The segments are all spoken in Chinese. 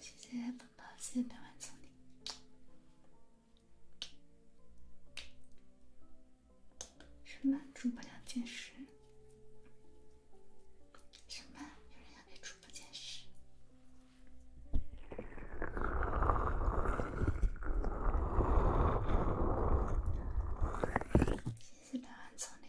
谢谢奔跑，谢谢百万总理。什么主播要监视？什么有人要被主播监视？谢谢百万总理。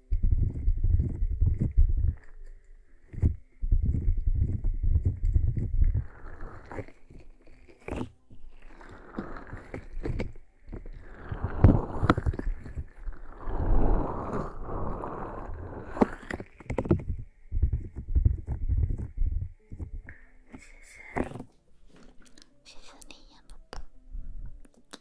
谢谢，谢谢你，宝宝。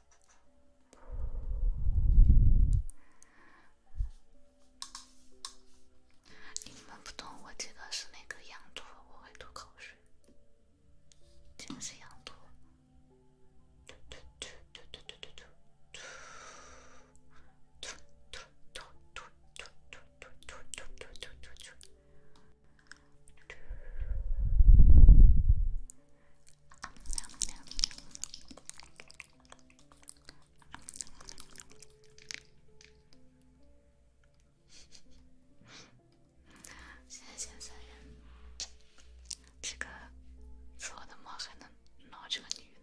你们不懂，我记得是那个羊驼会吐口水，就是羊驼。现在，现在，这个我的猫还能挠这个女的？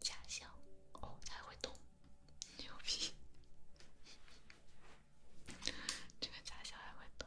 假象哦，还会动，牛逼！这个假象还会动。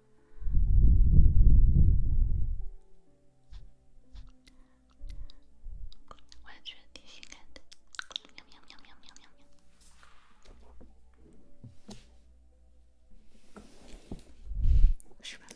完全挺性感的，十八秒。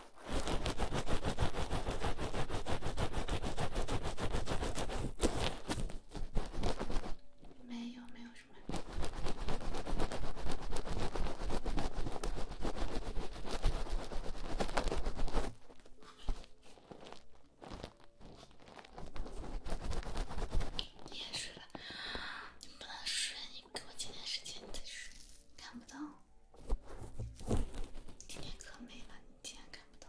没有，没有什么。你也睡了，你不能睡，你给我几天时间你再睡，看不到。今天可美了，你竟然看不到。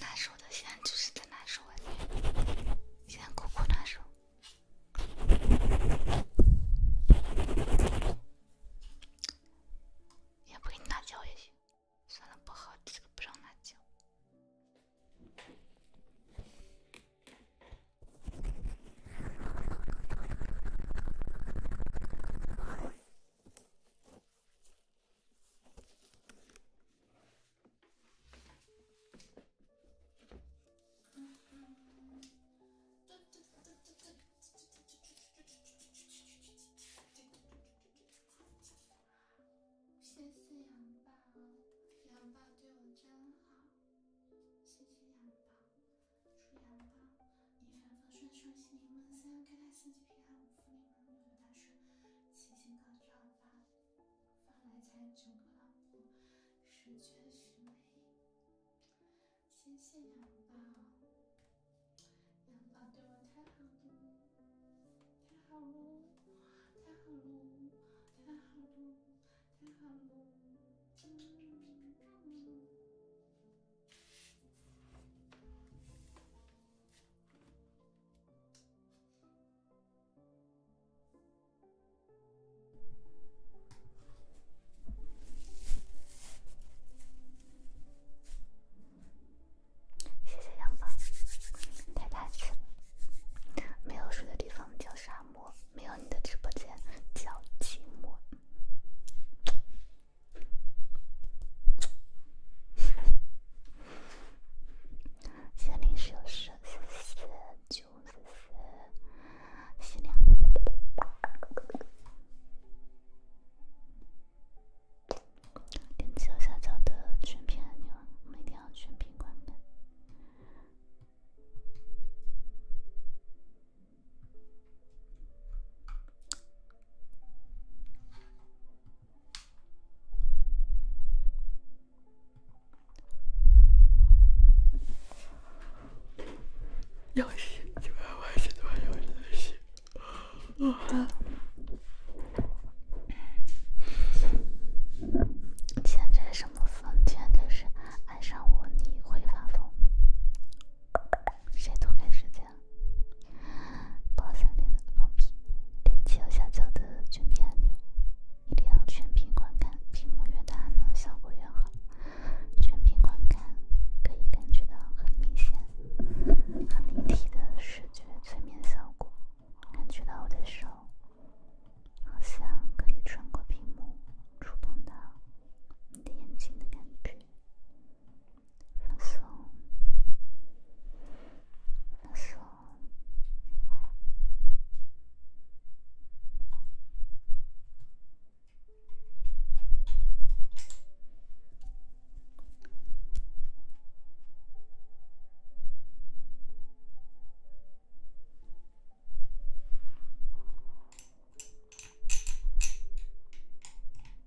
难受的，现在就是在难受，现在苦苦难受。也不给你拿酒也行，算了，不好，不不让你拿谢谢杨爸，杨爸对我真好。谢谢杨爸，祝杨爸。一帆风顺，双心临门，三开泰四季平安，五福临门，六六大顺，七星高照，八方来财，整个老婆，十全十美，谢谢杨宝，杨宝对我太好了，太好了，太好了，太好了，太好了，嗯。谢谢阳光，太客气了。没有水的地方叫沙漠，没有你的直播间叫寂寞。现在临时有事，九点四洗脸。点击右下角的全屏按钮，我们一定要全屏观看。游戏，就玩游现在什么房间都是爱上我，你会发疯？谁拖开时间？播三连的，好皮！点击右下角的全屏按钮，一定要全屏观看，屏幕越大呢，效果越好。全屏观看可以感觉到很明显、很立体的视觉催眠效果，感觉到我的手好像可以穿过屏幕，触碰到你的眼睛的感觉。放松，放松。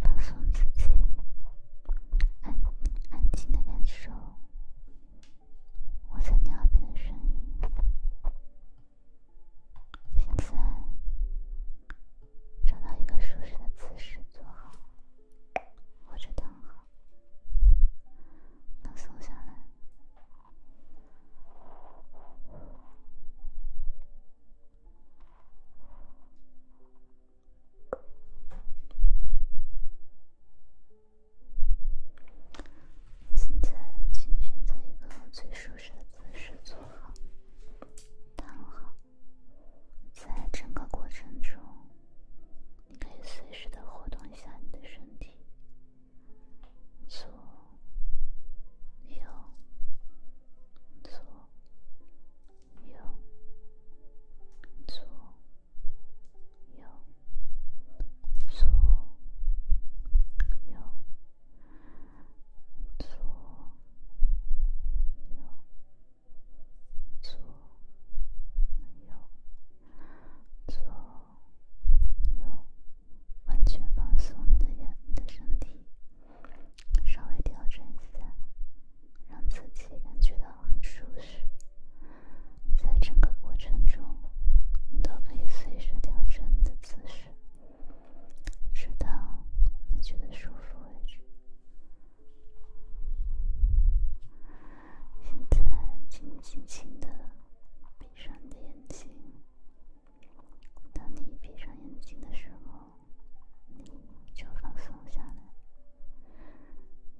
放松自己，安安静的感受我在你耳边的声音。现在。找到一个舒适的姿势坐好，或者躺好，能松下来。现在，请选择一个最舒适的姿势坐好、躺好。在整个过程中，你可以随时的活动一下你的身体，左、右、左、右、左、右、左、右。左右，左右，左右，完全放松你的身体，稍微调整一下，让自己感觉到很舒适。在整个过程中，你都可以随时调整你的姿势，直到你觉得舒服为止。现在，请轻轻的闭上眼睛。当你闭上眼睛的时候，你就放松下来，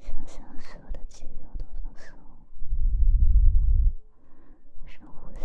想象所有的肌肉都放松，深呼吸。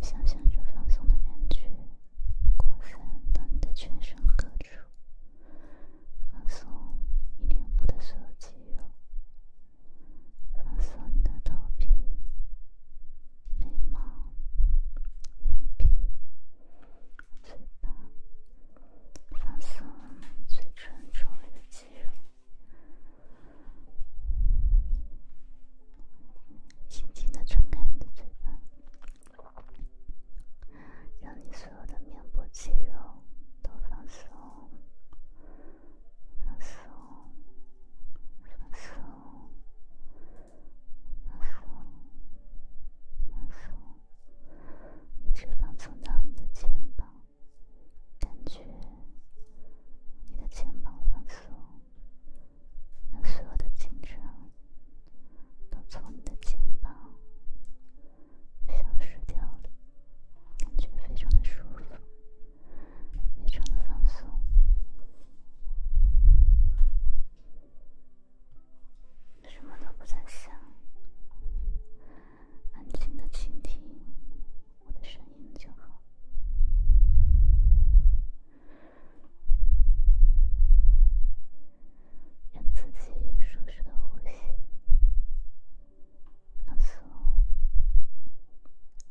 想象着放松的感觉，扩散到你的全身各处，放松你脸部的所有肌肉，放松你的头皮、眉毛、眼皮、嘴巴，放松嘴唇周围的肌肉。轻轻的张开你的嘴巴，让你所有的面部肌肉都放松、放松、放松、放松、放松，一直放松到你的肩膀，感觉你的肩膀放松。让所有的紧张都从你的肩膀消失掉了，感觉非常的舒服，非常的放松，什么都不在想，安静的倾听我的声音就好。让自己舒适的呼吸，放松，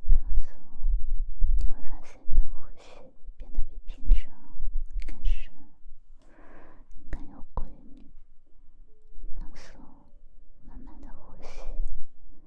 放松，你会发现你的呼吸变得比平常更深、更有规律。放松，慢慢的呼吸。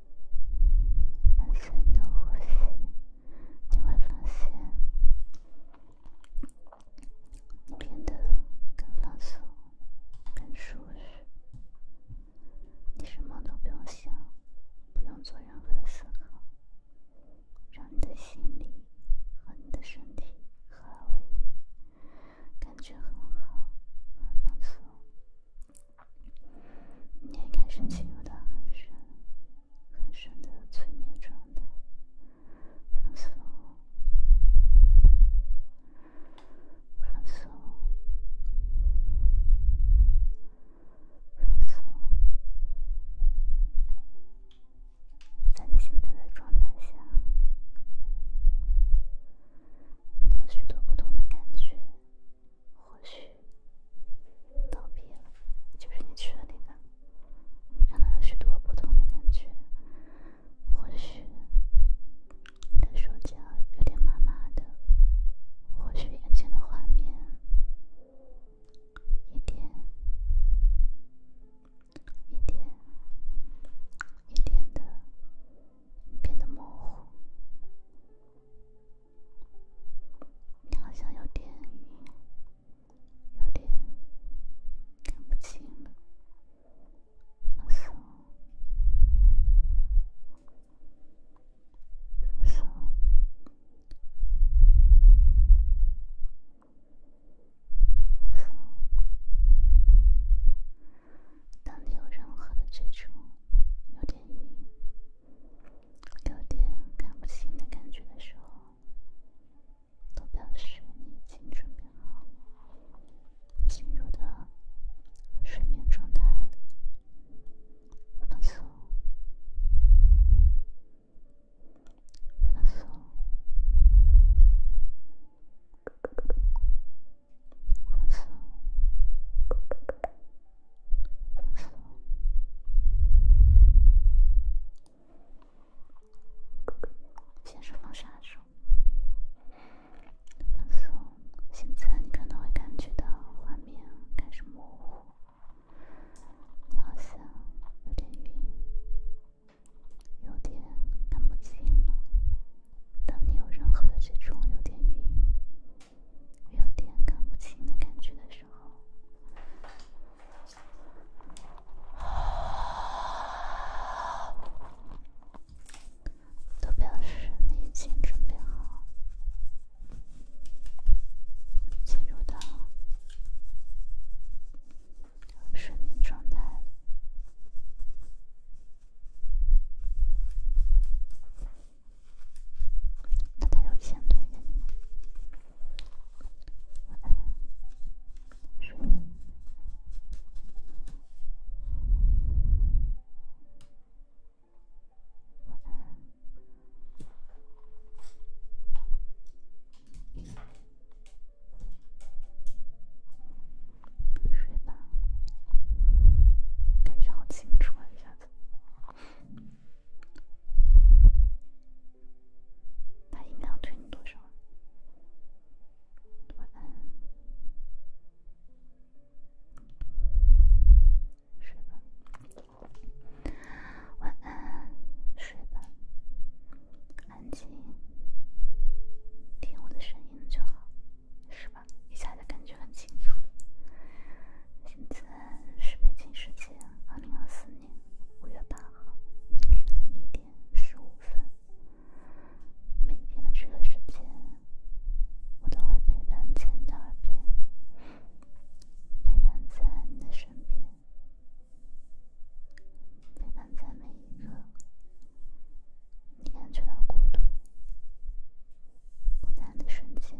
深深的呼吸，你会发现变得更放松、更舒适。你什么都不用想，不用做任何思考，让你的心灵和你的身体合为一体，感觉很好，很放松。你也开始进入到很深很深的催眠状态，放松，放松，放松。在你现在的状态下，你有许多不同的感觉。或许，道别了，就是你去了那个，你看到许多不同的感觉。或许，你的手脚有点麻麻的。或许，眼前的画面一点、一点、一点的变得模糊。你好像有点，晕，有点看不清了。放松，放松，放松。当你有任何的追种有点。晕。有点看不清的感觉的时候，都表示已经准备好进入的睡眠状态放松，放松，放松。先释放双手，放松。现在可能会感觉到画面开始模糊，你好像有点晕，有点看不清了。当你有任何的这种有点晕、有点看不清的感觉的时候，都表示你已经准备好进入到睡眠状态。那他有钱对不对？晚安，睡了，睡吧。感觉好清楚啊，一下子。把音量推多少？晚安，睡吧。晚安，睡吧。安静，听我的声音就好，是吧？一下子感觉很清楚。现在是北京时间二零二四年五月八号凌晨的一点十五分。每天的这个时间，我都会陪伴在你那边，陪伴在你的身边，陪伴在每一个你感觉到孤独、孤单的瞬间。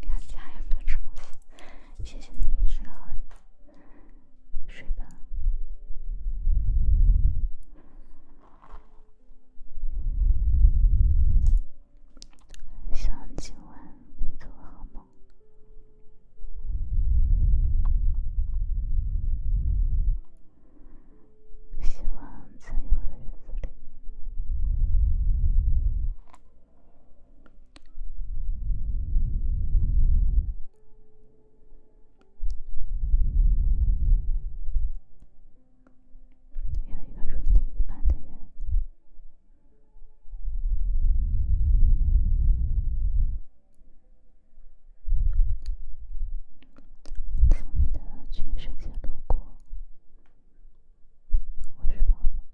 看家有没有吃东西？谢谢你，你睡睡吧。希望今晚你做个好梦。希望在以后的日子里。有一个如你一般的人，从你的全世界路过，我是宝宝。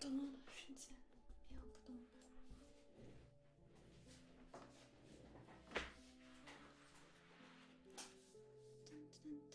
等等时间，别不动了。噔噔噔。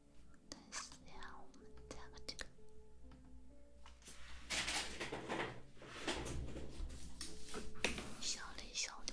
太小了，这个小嘞，小的。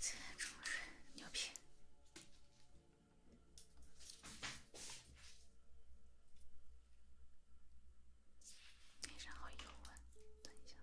在冲水，牛逼！脸上好油啊！等一下。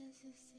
谢谢，谢谢。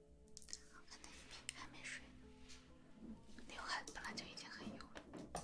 好看的衣品还没睡呢，刘海本来就已经很油了。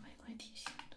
玫瑰提醒的。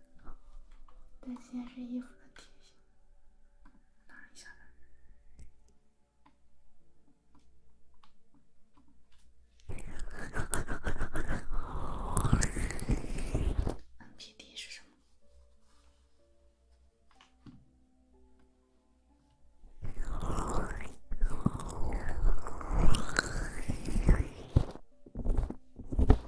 但今天是衣服的体型，拿一下来。NPD 是什么？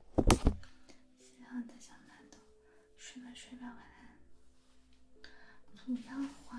心上的小馒头，睡吧睡吧，晚安。不要还。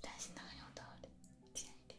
担心的很有道理，浅一点。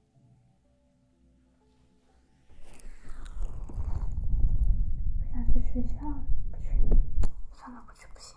不想去学校，不去。算了，不去不行。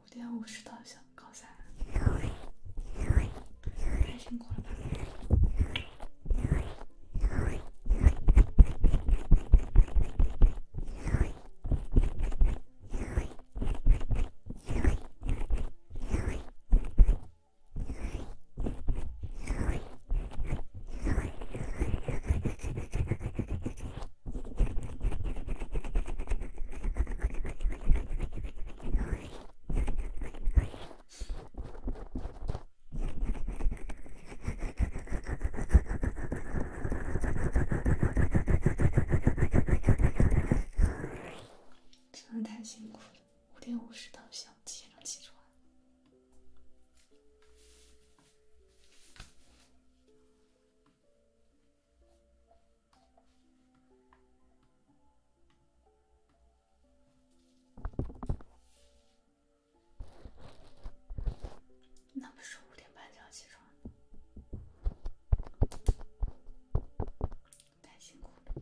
五点五十到校，高三，太辛苦了吧？真是太辛苦了，五点五十到校，七点钟起床。那不是五点半就要起床？太辛苦了。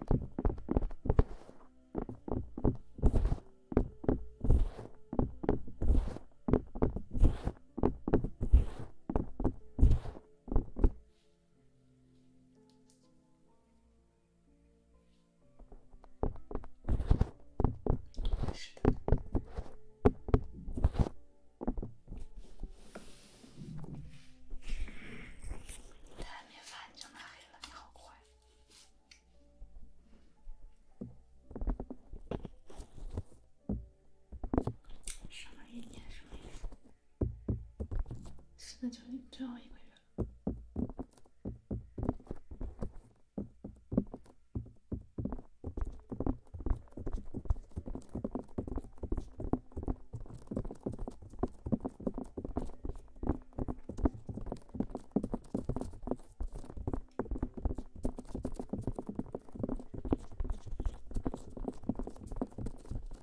他没反应，那黑了你好快。什么意思？什么现在就你最后一个月了。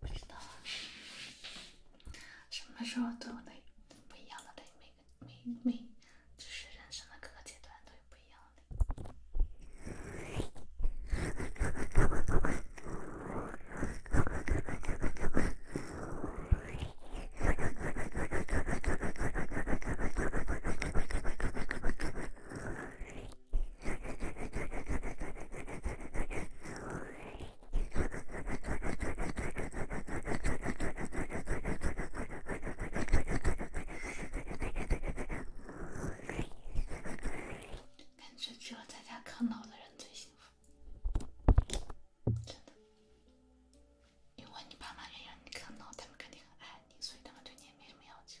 不知道啊，什么时候都有不一样的。的，每个每每，就是人生的各个阶段都有不一样的。感觉只有在家啃老的人最幸福，真的。因为你爸妈愿意让你啃老，他们肯定很爱你，所以他们对你也没什么要求。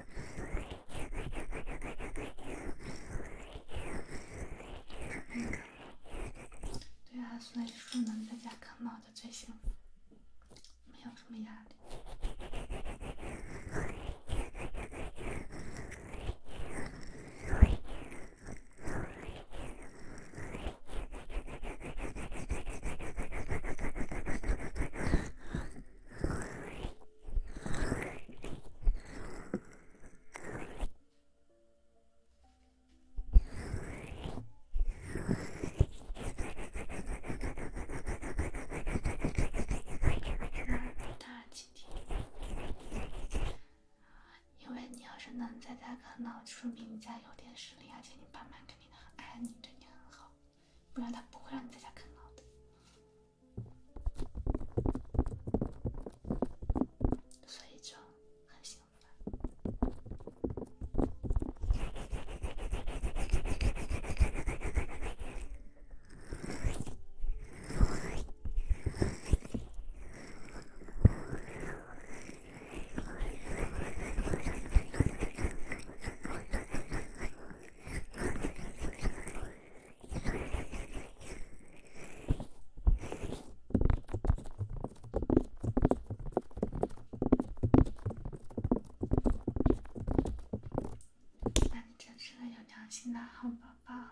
对啊，所以说能在家看猫的最幸福，没有什么压力。那因为你要是能在家看到，说明你家有点实力，而且你爸妈肯定很爱你，对你很好。不然他不会让你在家看到的，所以就很兴奋。那你真是个有良心的好宝宝。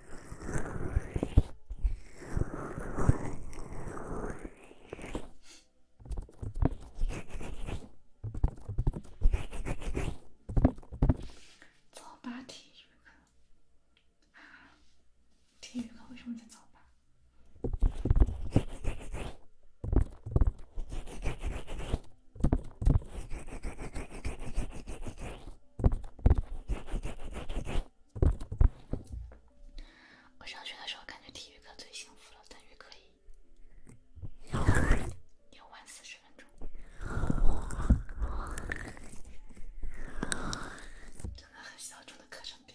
早八体育课，体育课为什么在早八？我上学的时候，感觉体育课最幸福了，等于可以游玩，游玩四十分钟。这个很小众的课程表。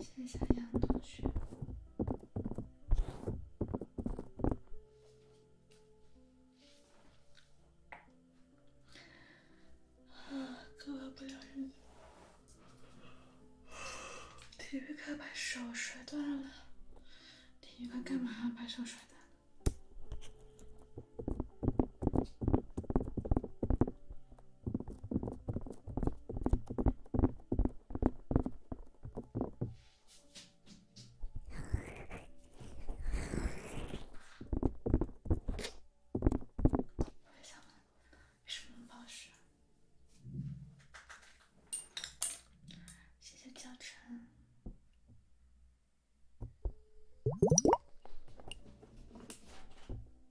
线下杨同学手摔断了，体育课干嘛把手摔断了？我想问，什么保湿？谢谢教程。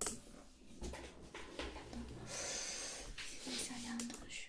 谢谢夏夏同学。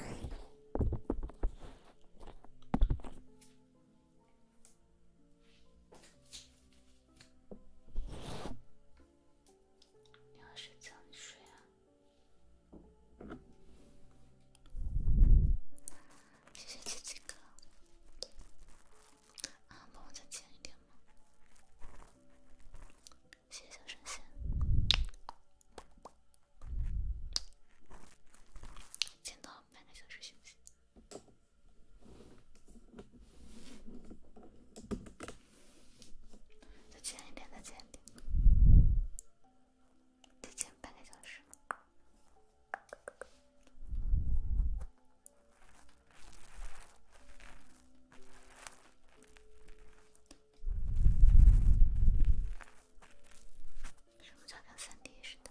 你要睡觉，你睡啊。谢谢七七哥。啊，帮我再剪一点吗？谢谢小神仙。剪到半个小时休息，再剪一点，再剪一点，再剪半个小时。什么叫跟三 D 似的？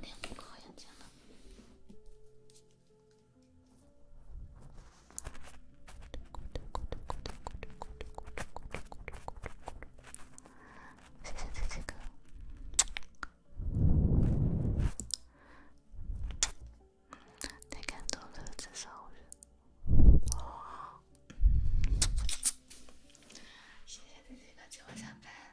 两个好眼睛了。谢谢姐姐哥，太感动了，这三人。谢谢姐姐哥接我下班。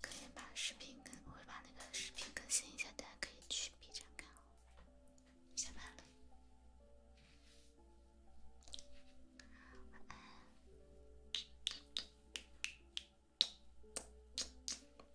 可以把视频更，我会把那个视频更新一下，大家可以去 B 站看哦。下班了。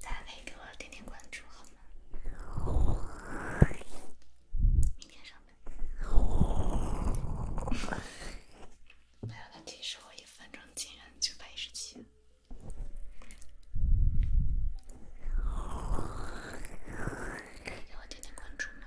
大家可以给我点点关注，好吗？明天上班。没有了，其实我一分钟竟然九百一十七。可以给我点点关注吗？